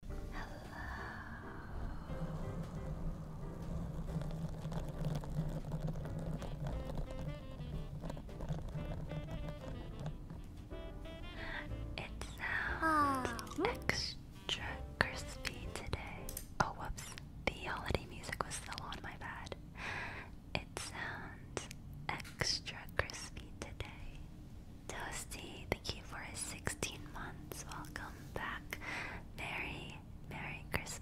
It sounds oh. extra crispy today. Oh, whoops. The holiday music was still on, my bad. It sounds extra crispy today. Toasty, thank you for his 16 months. Welcome back. Merry, Merry Christmas.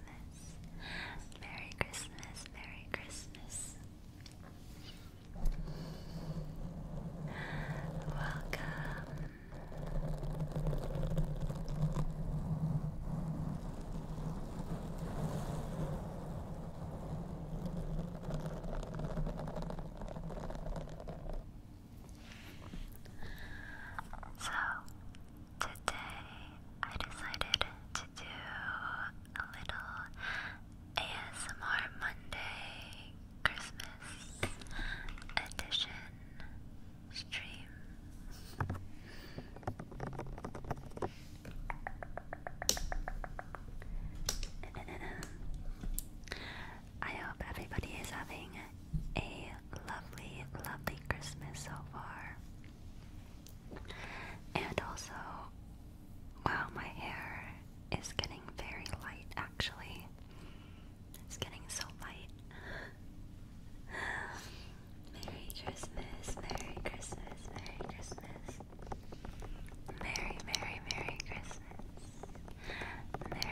Merry Christmas, Merry Christmas. Welcome. So, today I decided to do a little ASMR Monday Christmas edition stream. I hope everybody is having a lovely, lovely Christmas so far. And also, wow, my hair is getting very light actually. It's getting so light. Merry Christmas, Merry Christmas, Merry Christmas. Merry, Merry, Merry Christmas. Merry Christmas,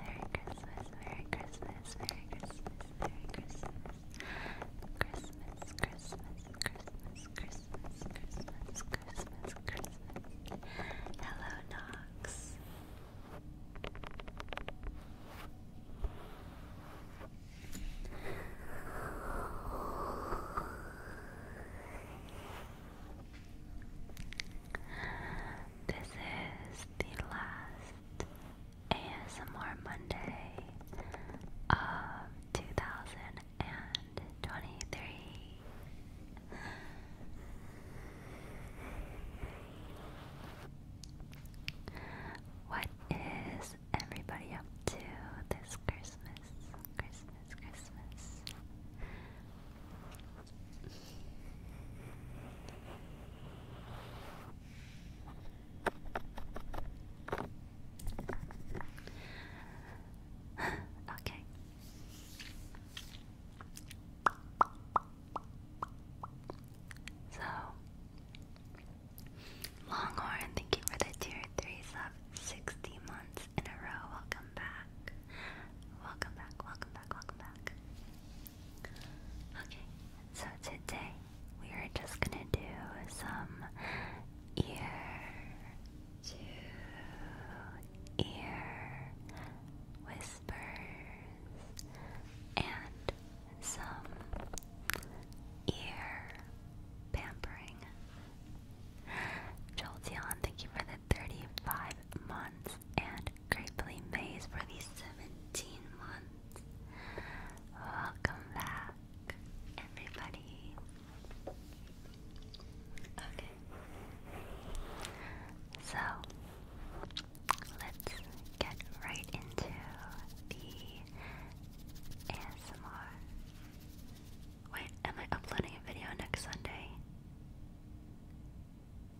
Merry Christmas, Merry Christmas, Merry Christmas, Merry Christmas, Merry Christmas, Merry Christmas, Christmas, Christmas, Christmas, Christmas, Christmas, Christmas, Christmas. Hello, Knox. This is the last ASMR Monday of 2023. What is everybody up to this Christmas? Christmas, Christmas okay. So, Longhorn, thank you for the tier three sub. Sixty months in a row. Welcome back welcome back, welcome back, welcome back. Okay, so today we are just gonna do some ear to ear whispers and some ear pampering. Jolteon, thank you for the 35 months and Grapely Maze for the 17 months. Welcome back, everybody. Okay. So, let's get right into the ASMR. Wait, am I uploading a video next Sunday?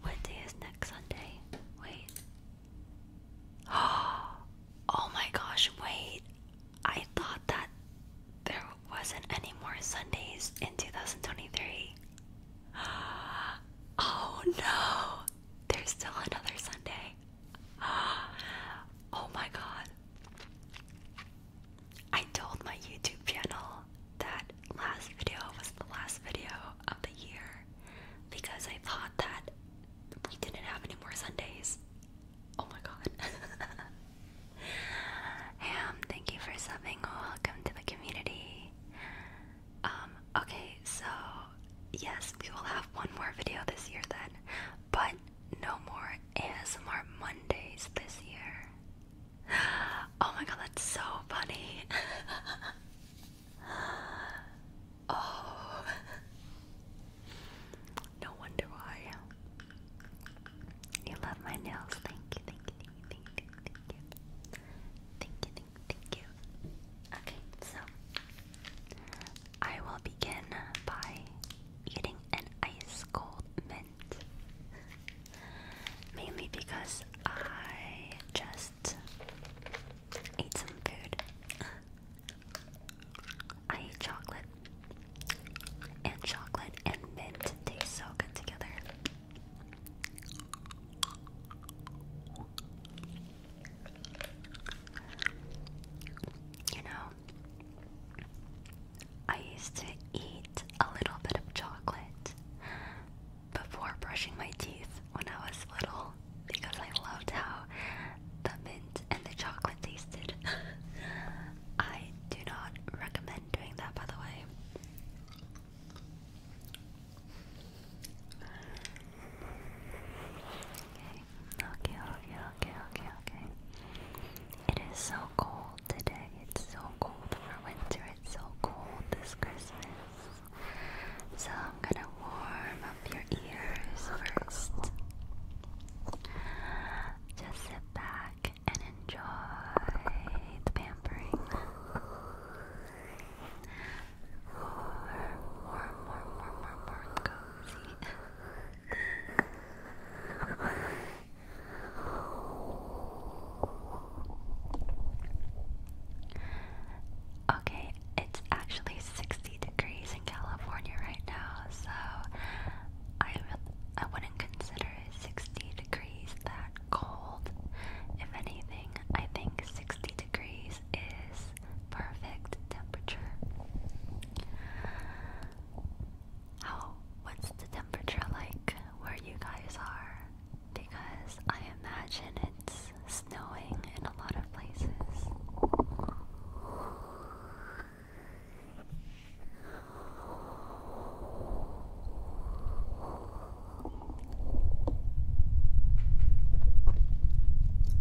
What day is next Sunday? Wait. Oh my gosh, wait. I thought that there wasn't any more Sundays in 2023. Oh no! There's still another Sunday. Oh my god. I told my YouTube channel that last video was the last video of the year because I thought that we didn't have any more Sundays. Oh my god. Ham, thank you for subbing. Welcome to the community. Um, okay, so yes, we will have one more video this year then, but no more ASMR Mondays this year. Oh my god, that's so funny. oh. No wonder why. You love my nails. Thank you, thank you, thank you, thank you, thank you. Thank you, Okay, so I will begin by eating an ice cold Mainly because I just ate some food. I eat chocolate and chocolate and mint taste so good together. You know, I used to eat a little bit of chocolate before brushing my teeth when I was little because I loved how the mint and the chocolate tasted. I do not recommend doing that, by the way. Okay, okay, okay, okay, okay, It is so cold today. It's so cold for winter. It's so cold this Christmas. So I'm gonna warm up your ears first. Just sit back and enjoy the pampering. Warm, warm, warm, warm, warm, warm, cozy. Okay, it's actually 60 degrees in California right now, so I I wouldn't consider 60 degrees that cold. If anything, I think 60 degrees is perfect temperature how what's the temperature like where you guys are? Because I imagine it's snowing in a lot of places.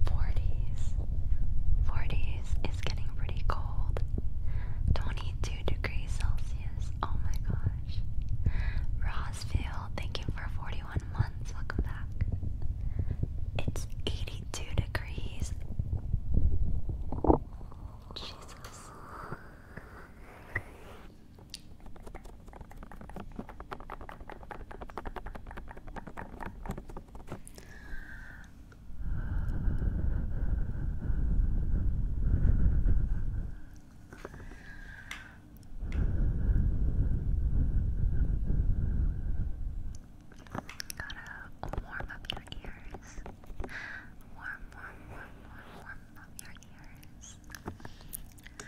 Forties. Forties is getting pretty cold. Twenty two degrees Celsius. Celsius. Oh my gosh. Rosville, thank you for 41 months. Welcome back. It's 82 degrees. Jesus. Gotta warm up your ears. Warm, warm, warm, warm, warm up your ears. Good.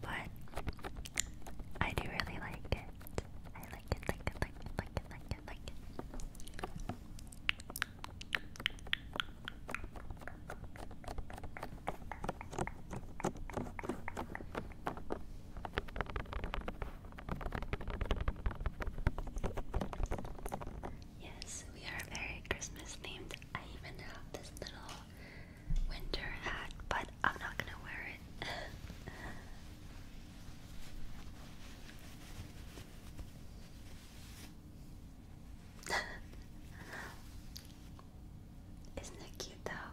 But I do really like it. I like it, like it, like it, like it, like it, like it. Yes, we are very Christmas themed. I even have this little winter hat, but I'm not gonna wear it. Isn't it cute though?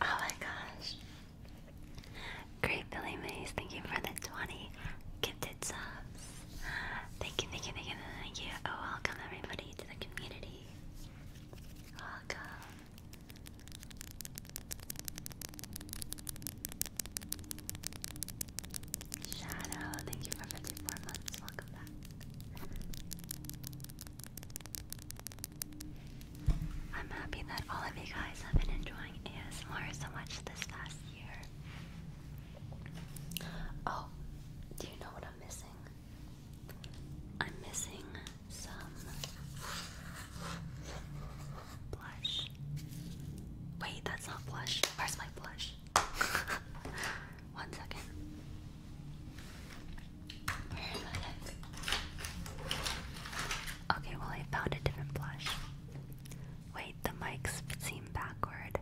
Oh my gosh. Great Billy Mays, thank you for the 20 gifted subs. Thank you, thank you, thank you, thank you. Oh, welcome everybody to the community. Welcome. Shadow, thank you for 54 months. Welcome back. I'm happy that all of you guys have been enjoying ASMR so much this past year. Oh, do you know what I'm missing? I'm missing some blush. Wait, that's not blush. Where's my blush? One second. Okay, well, I found a different blush. Wait, the mics seem backward.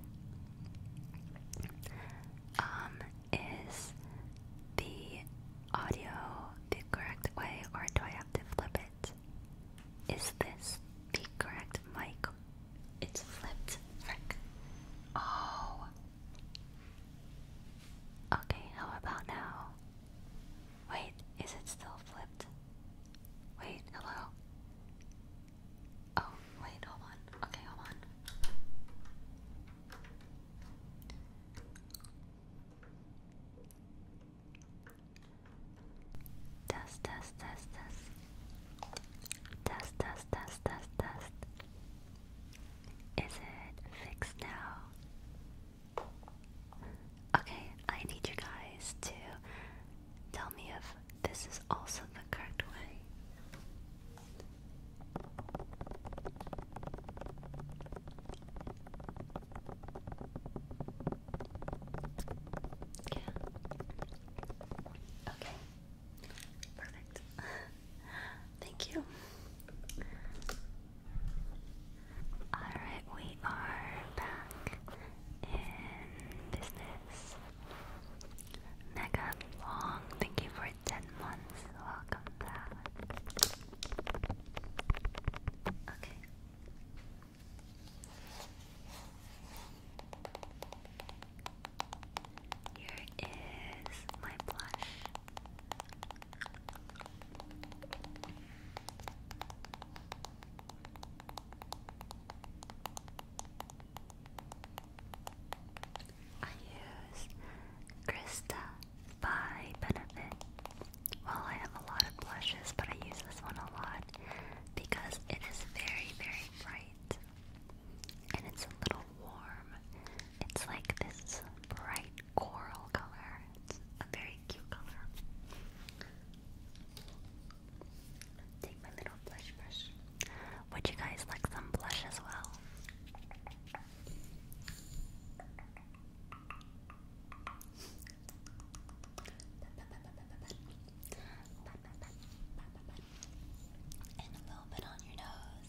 Um, is the audio the correct way, or do I have to flip it? Is this the correct mic? It's flipped. Frick. Oh. Okay, how about now? Wait, is it still flipped? Wait, hello? Oh, wait, hold on. Okay, hold on. Test, test, test, test. Test, test, test, test, test. Is it fixed now? Okay, I need you guys to tell me if this is also the correct way. Yeah. Okay. Perfect. Thank you. Alright, we are back in business. Mega long, thank you for 10 months. Welcome back. Okay. Here is my blush. I use Krista by Benefit. Well, I have a lot of blushes, but I use this one a lot because it is very, very bright and it's a little warm. It's like this bright coral color. It's a very cute color. Take my little blush brush. Would you guys like some blush as well? And a little bit on your nose,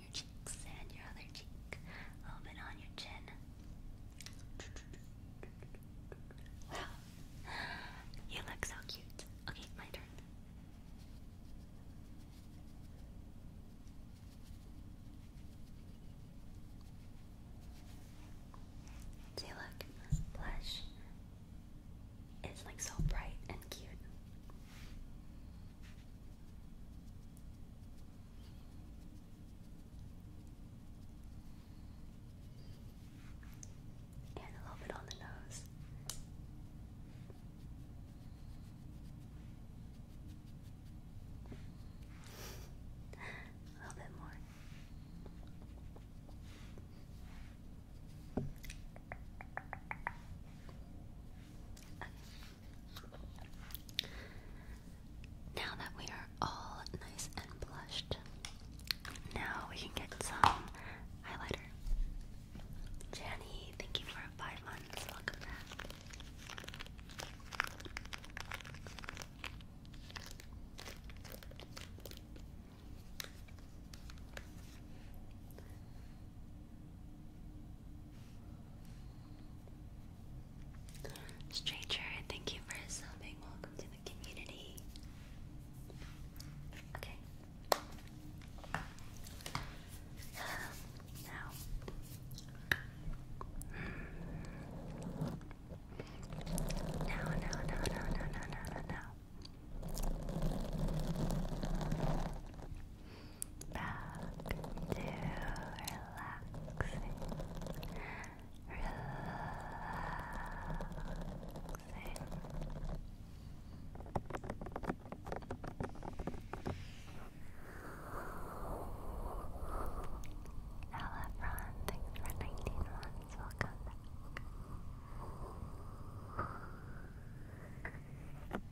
and your other cheek. A little bit on your chin. Wow. You look so cute. Okay, my turn. See, look, blush is like so bright and cute. And a little bit on the nose. a little bit more. Now that we are all nice and blushed, now we can get some highlighter. Jenny, thank you for five months. Welcome back. Stranger, thank you for subbing. Welcome to the community. Okay. no, um, no, no, no, no, no, no, no back to relaxing, relaxing. Hello, everyone. Thanks for 19 months. Welcome back.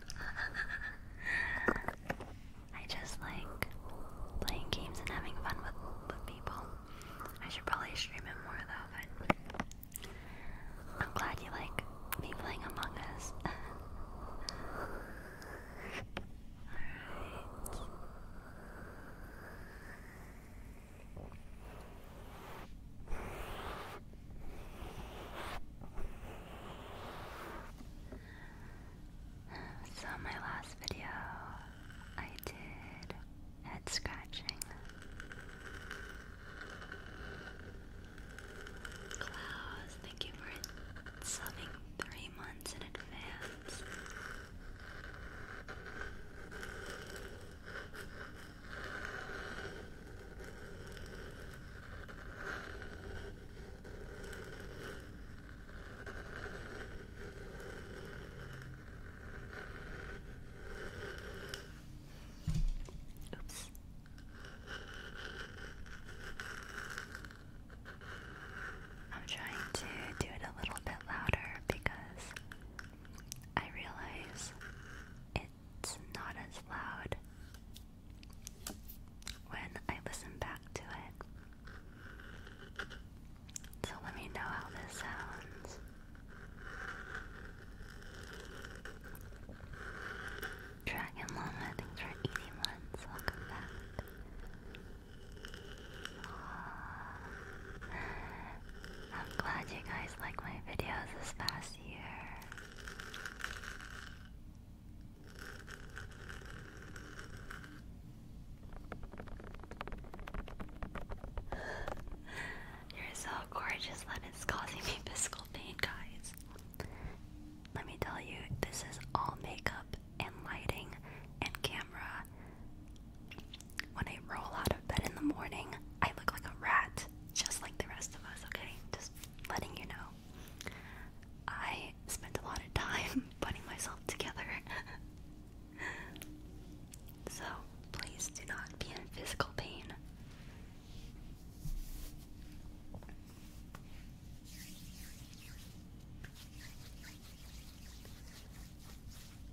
I just like playing games and having fun with, with people. I should probably stream it more though, I'm glad you like me playing Among Us. So, my last video, I did head scratching. Klaus, thank you for subbing three months in advance. Oops. I'm trying to do it a little bit louder because I realize it it's not as loud when I listen back to it. So let me know how this sounds. Dragon Llama, thanks for 80 Welcome back. I'm glad you guys like my videos this past year. You're so gorgeous that it's causing me physical pain, guys. Let me tell you, this is all makeup and lighting and camera. When I roll out of bed in the morning, I look like a rat, just like the rest of us, okay? letting you know. I spent a lot of time putting myself together. so please do not be in physical pain.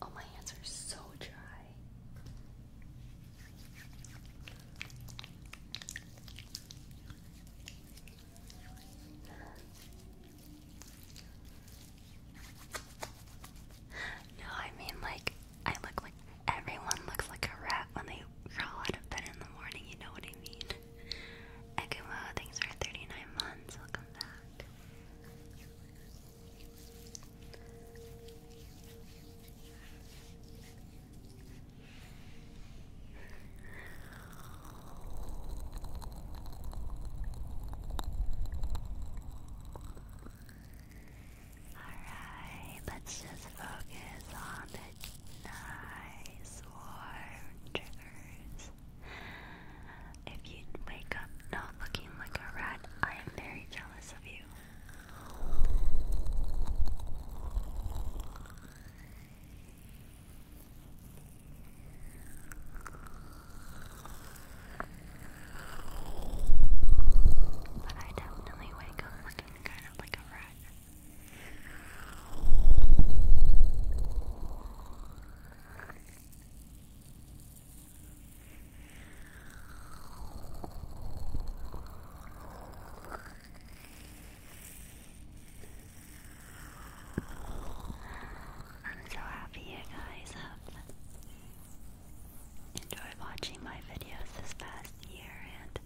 Oh, my hands are so dry. No, I mean like I look like everyone looks like a rat when they crawl out of bed in the morning, you know what I mean? Ekumo, thanks for 39 months, welcome back. Alright, let's just focus on the nice warm triggers. If you wake up not looking like a rat, I am very jealous of you. But I definitely wake up looking kind of like a rat. I'm so happy you guys have enjoyed watching my videos this past year, and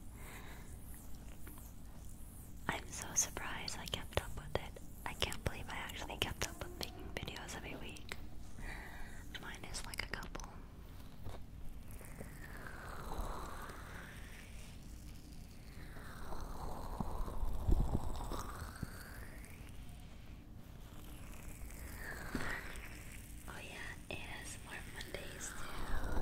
I'm so surprised I kept up with it. I can't believe I actually kept up with making videos every week. Mine is like a couple. Oh yeah, it is more Mondays too.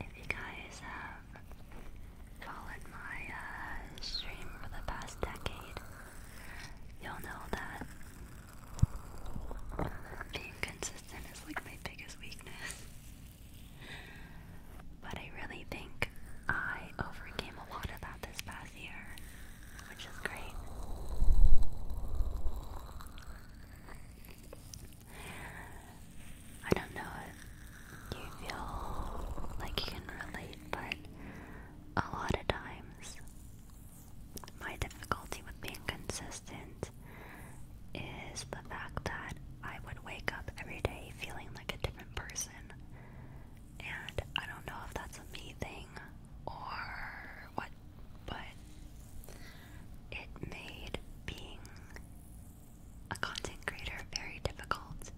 If you guys have followed my uh, stream for the past decade, you'll know that being consistent is like my biggest weakness. But I really think I overcame a lot of that this past which is great. I don't know if you feel like you can relate, but a lot of times my difficulty with being consistent is the fact that I would wake up every day feeling like a different person. And I don't know if that's a me thing or what, but it made being a content creator very difficult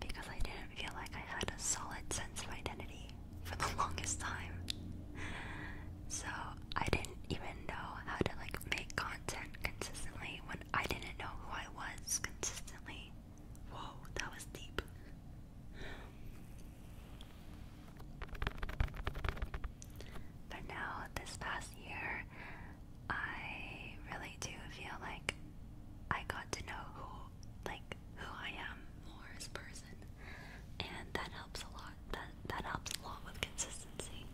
because I didn't feel like I had a solid sense of identity for the longest time. So I didn't even know how to like make content consistently when I didn't know who I was consistently. Whoa, that was deep. But now, this past year, I really do feel like I got to know who, like, who I am more as person, and that helps a lot. That that helps a lot with consistency.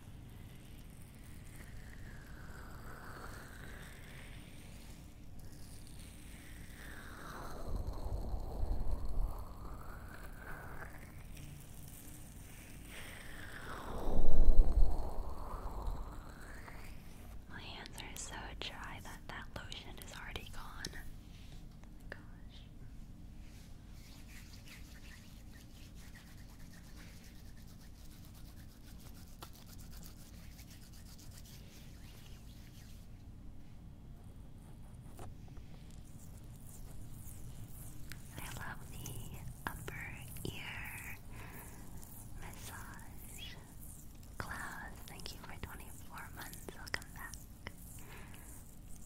My hands are so dry that that lotion is already gone. Oh my gosh. I love the upper ear massage. Klaus, thank you for 24 months. Welcome back.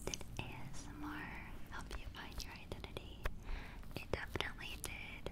Did ASMR help you find your identity? It definitely did.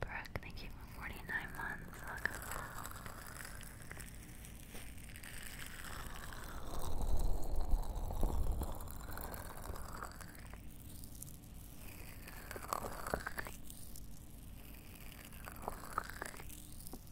Brooke, thank you for 49 months. Welcome. Thank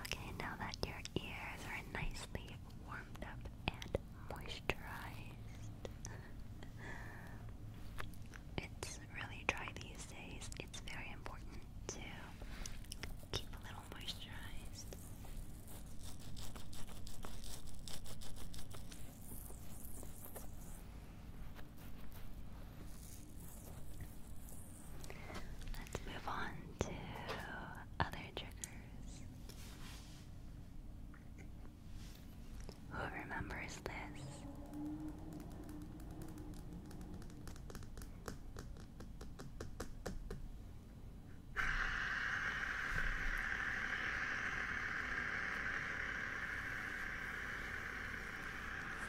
Okay, now that your ears are nicely warmed up and moisturized, it's really dry these days. It's very important to keep a little well Let's move on to other triggers. Who remembers this?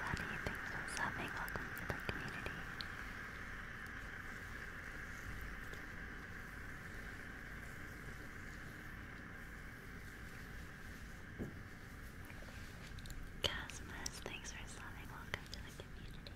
Sunny, thanks for subbing. Welcome to the community. Casmus, thanks for subbing. Welcome to the community.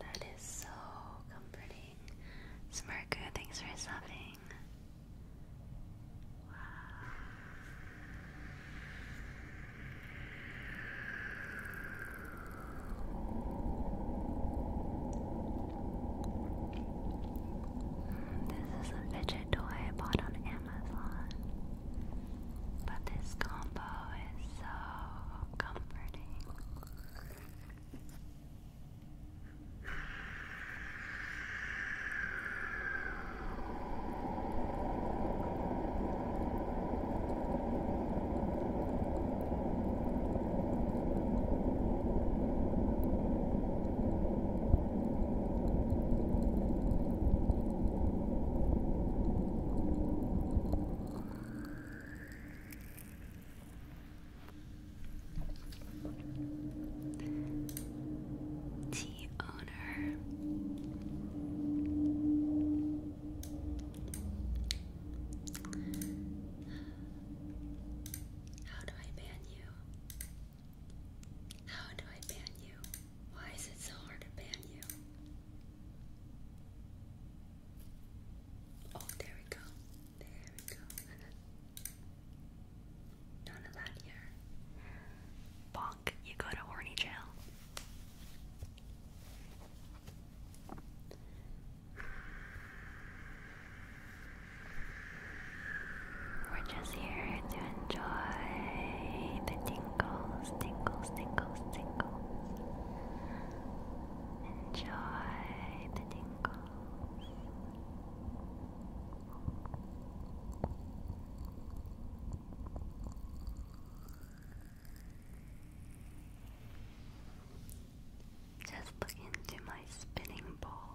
That is so comforting. Smirka, thanks for subbing. Wow. This is a fidget toy I bought on Amazon. But this combo is so comforting. Tea owner. How do I ban you? How do I ban you? Why is it so hard to ban you? Oh, there we go. There we go. None of that here. Bonk, you go to horny jail. We're just here to enjoy the tingles, tingles, tingles, tingles. Enjoy the tingles. Just look into my spinning ball.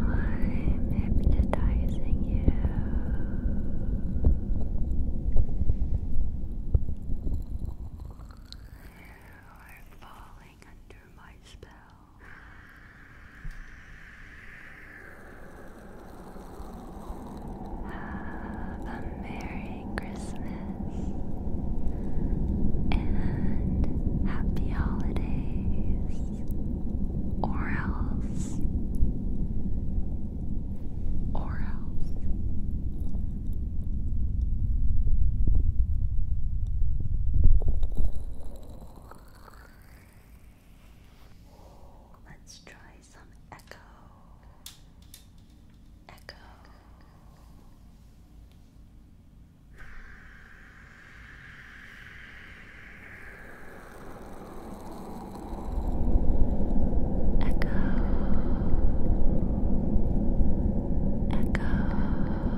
I'm hypnotizing you. We're falling under my spell. Have a Merry Christmas and Happy Holidays, or else, or else. Let's try some echo. Echo. Echo. Echo.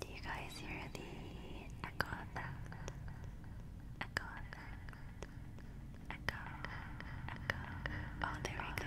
Do you guys hear the echo Echo Echo. Echo. Oh, there we go.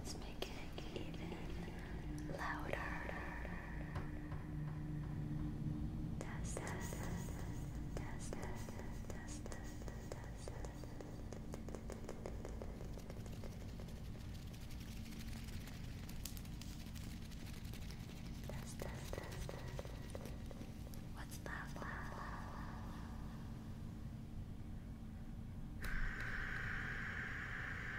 Let's make it even louder. What's that? Wow.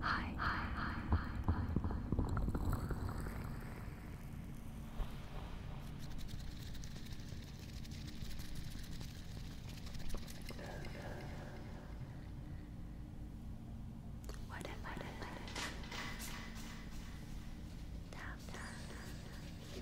Hi. Hi. Hi. Hi. What am I doing? Tap, tap, tap, tap,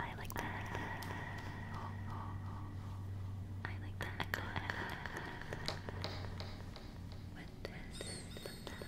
I like that. I like that. I like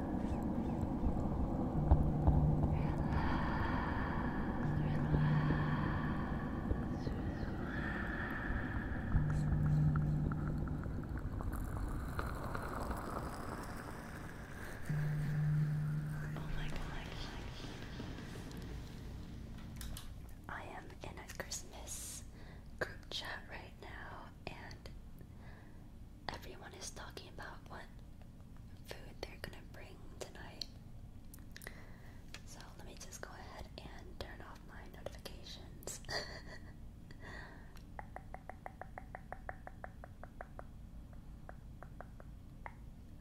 Oh my god. I am in a Christmas group chat right now and everyone is talking about what food they're gonna bring tonight. So let me just go ahead and turn off my notifications.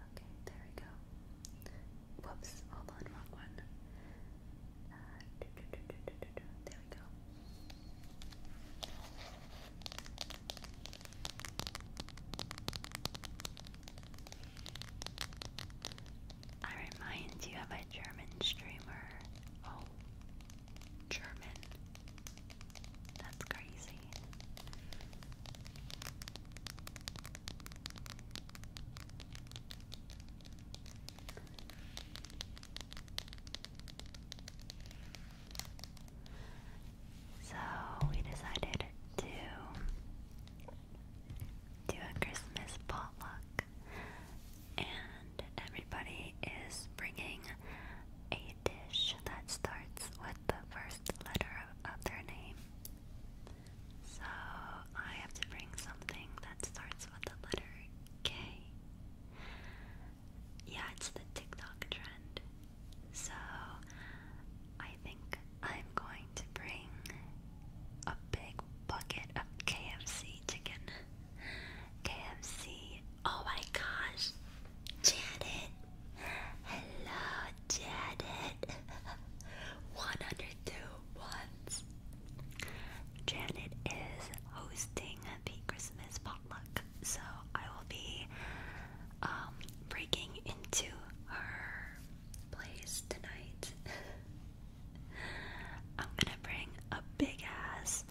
okay, there we go. Whoops, hold on, wrong one. Uh, there we go. I remind you of a German streamer. Oh, German. That's crazy. So we decided to do a Christmas potluck, and everybody is bringing a dish that starts with the first letter of, their name. So I have to bring something that starts with the letter K yeah, it's the TikTok trend. So I think I'm going to bring a big bucket of KFC chicken. KFC. Oh my gosh. Janet. Hello, Janet. 102 Janet is hosting the Christmas pod outlook. So I will be um, breaking into her place tonight. I'm gonna bring a big ass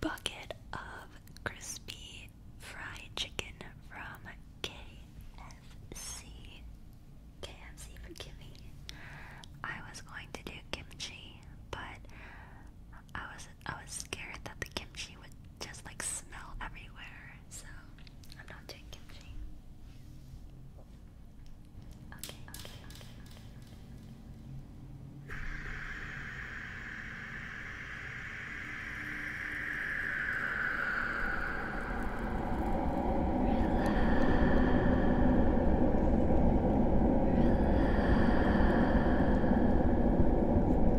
bucket of crispy fried chicken from KFC. KFC, forgive me. I was going to do kimchi, but I was I was scared that the kimchi would just like smell everywhere, so I'm not doing kimchi. Okay, okay, okay.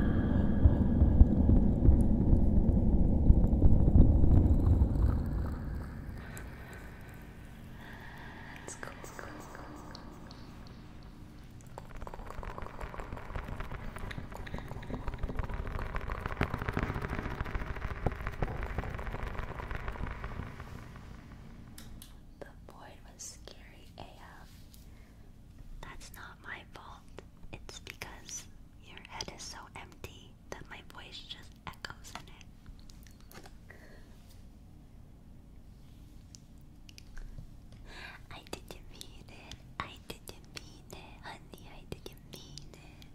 That's cool. That's cool. That's cool. The void was scary AF. That's not my fault. It's because your head is so empty that my voice just echoes in it. I didn't mean it. I didn't mean it, honey. I didn't mean it.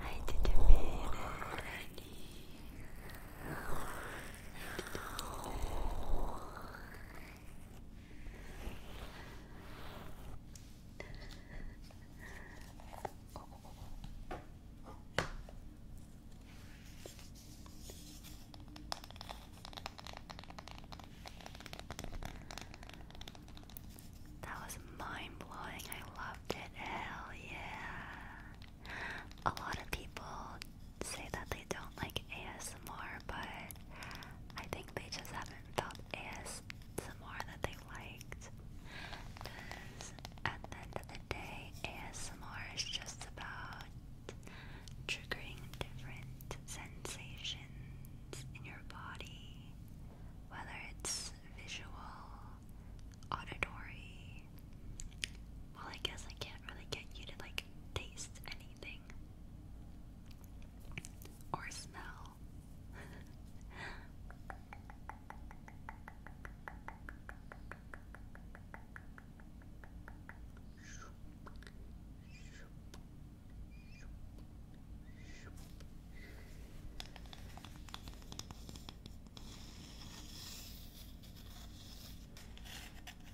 I didn't mean it, honey. That was mind blowing. I loved it. Hell yeah. A lot of people say that they don't like ASMR, but I think they just haven't felt ASMR that they liked. Because at the end of the day, ASMR is just about triggering different sensations in your body, whether it's visual, auditory. Well, I guess I can't really get you to like taste anything or smell.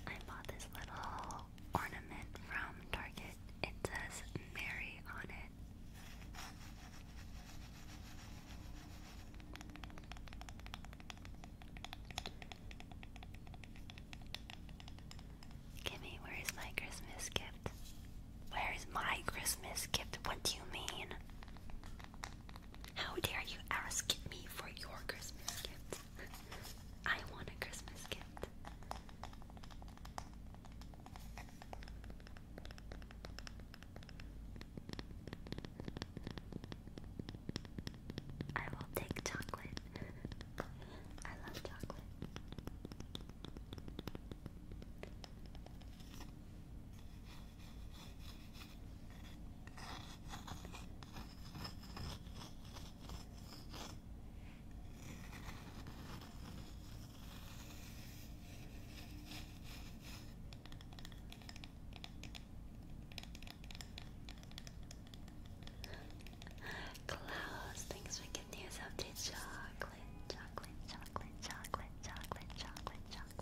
I bought this little ornament from Target. It says Mary on it. Kimmy, where is my Christmas gift? Where is my Christmas gift? What do you mean? How dare you ask me for your Christmas gift? I want a Christmas gift. I will take chocolate. I love chocolate. Klaus, thanks for giving yourself the chocolate, chocolate, chocolate, chocolate, chocolate, chocolate, chocolate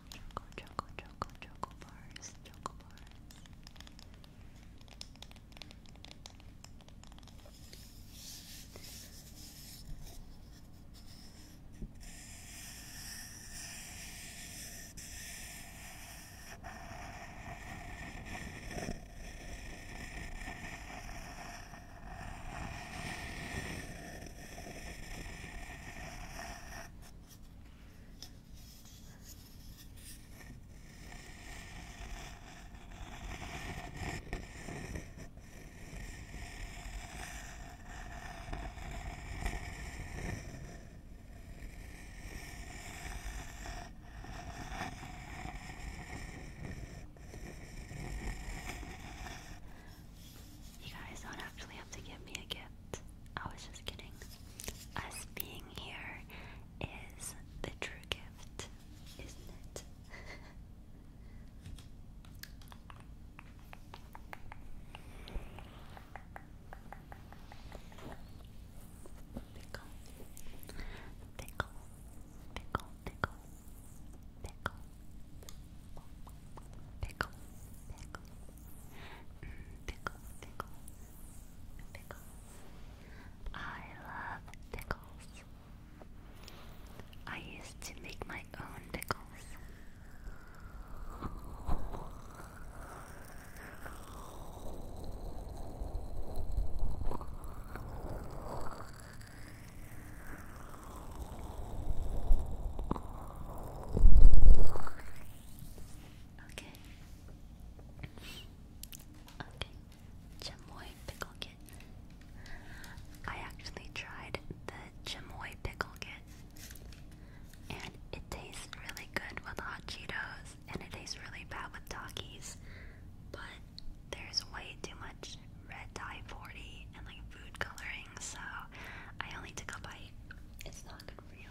Chocolate, choco, choco, bars, choco bars. You guys don't actually have to give me a gift. I was just kidding. Us being here is the true gift, isn't it? pickle, pickle, pickle, pickle, pickle, pickle, pickle, mm, pickle, pickle, pickle, Pickles. I love pickles. I used to make my own pickles. Okay. Okay. Chamoy pickle kit. I actually tried the chamoy pickle kit, and it tastes really good with hot Cheetos, and it tastes really bad with Takis. But there's way too much red dye 40 and like food coloring, so I only took a bite. It's not good for you.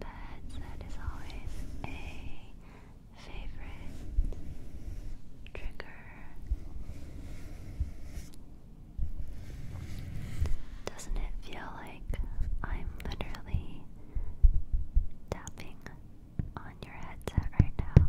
That is always a favorite trigger doesn't it feel like I'm literally tapping on your headset right now?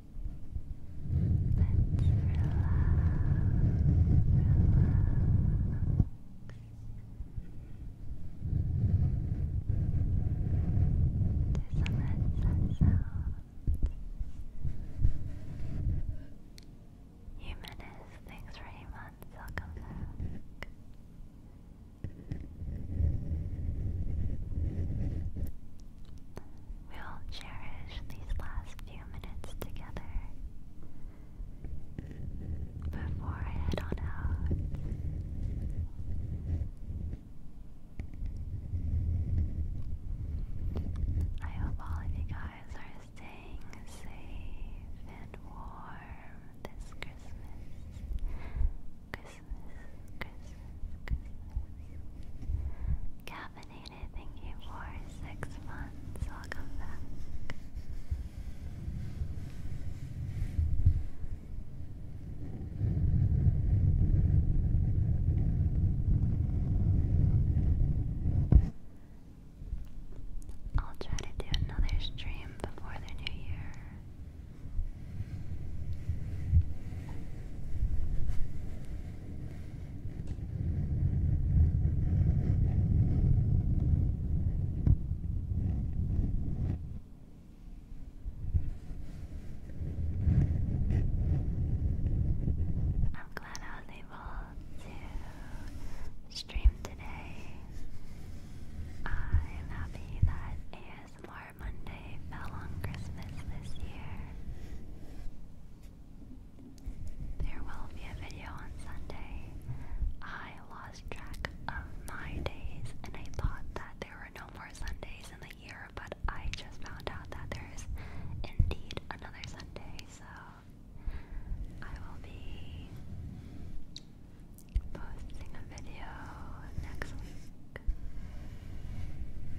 relax. Humanist, thanks for eight months, welcome back. We will cherish these last few minutes together before I head on out. I hope all of you guys are staying safe and warm this Christmas. Christmas, Christmas, Christmas caffeinated. Thank you for six months. Welcome back. I'll try to do another stream before the new year. I'm glad I was able to stream today. I'm happy that ASMR Monday fell on Christmas this year. There will be a video on Sunday. I lost track of my days and I thought that there were no more Sundays in the year, but I just found out that there is indeed another Sunday, so I will be posting a video next week.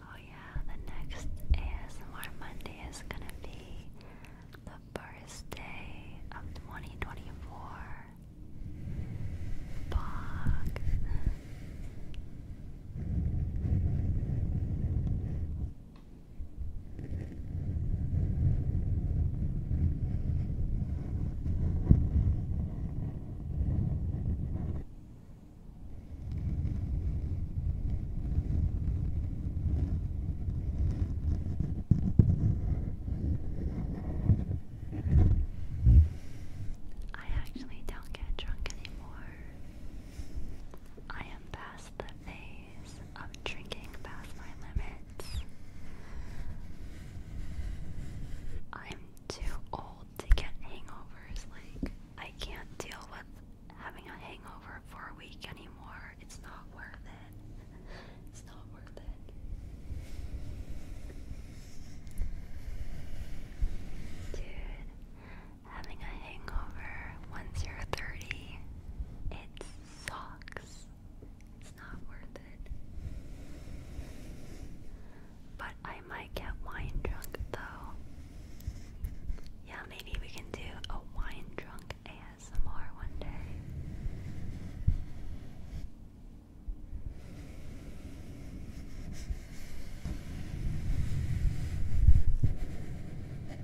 Oh, yeah, the next ASMR Monday is gonna be the first day of 2024. Bog. I actually don't get drunk anymore. I am past phase of drinking past my limits. I'm too old to get hangovers. Like, I can't deal with having a hangover for a week anymore. It's not worth it. It's not worth it. Dude, having a hangover once you're 30, it sucks. It's not worth it. But I might get wine drunk though. Yeah, maybe we can do a wine drunk ASMR one day.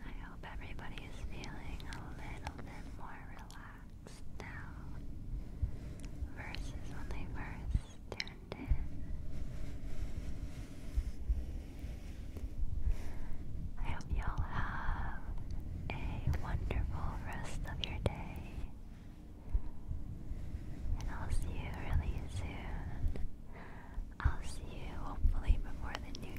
I hope everybody is feeling a little bit more relaxed now versus when they first tuned in you'll have a wonderful rest of your day. And I'll see you really soon. I'll see you hopefully before the new year.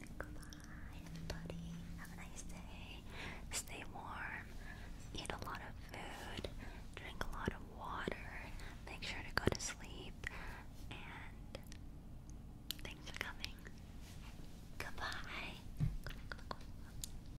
Goodbye, everybody. Have a nice day. Stay warm. Eat a lot of food. Drink a lot of water. Make sure to go to sleep. And thanks for coming. Goodbye.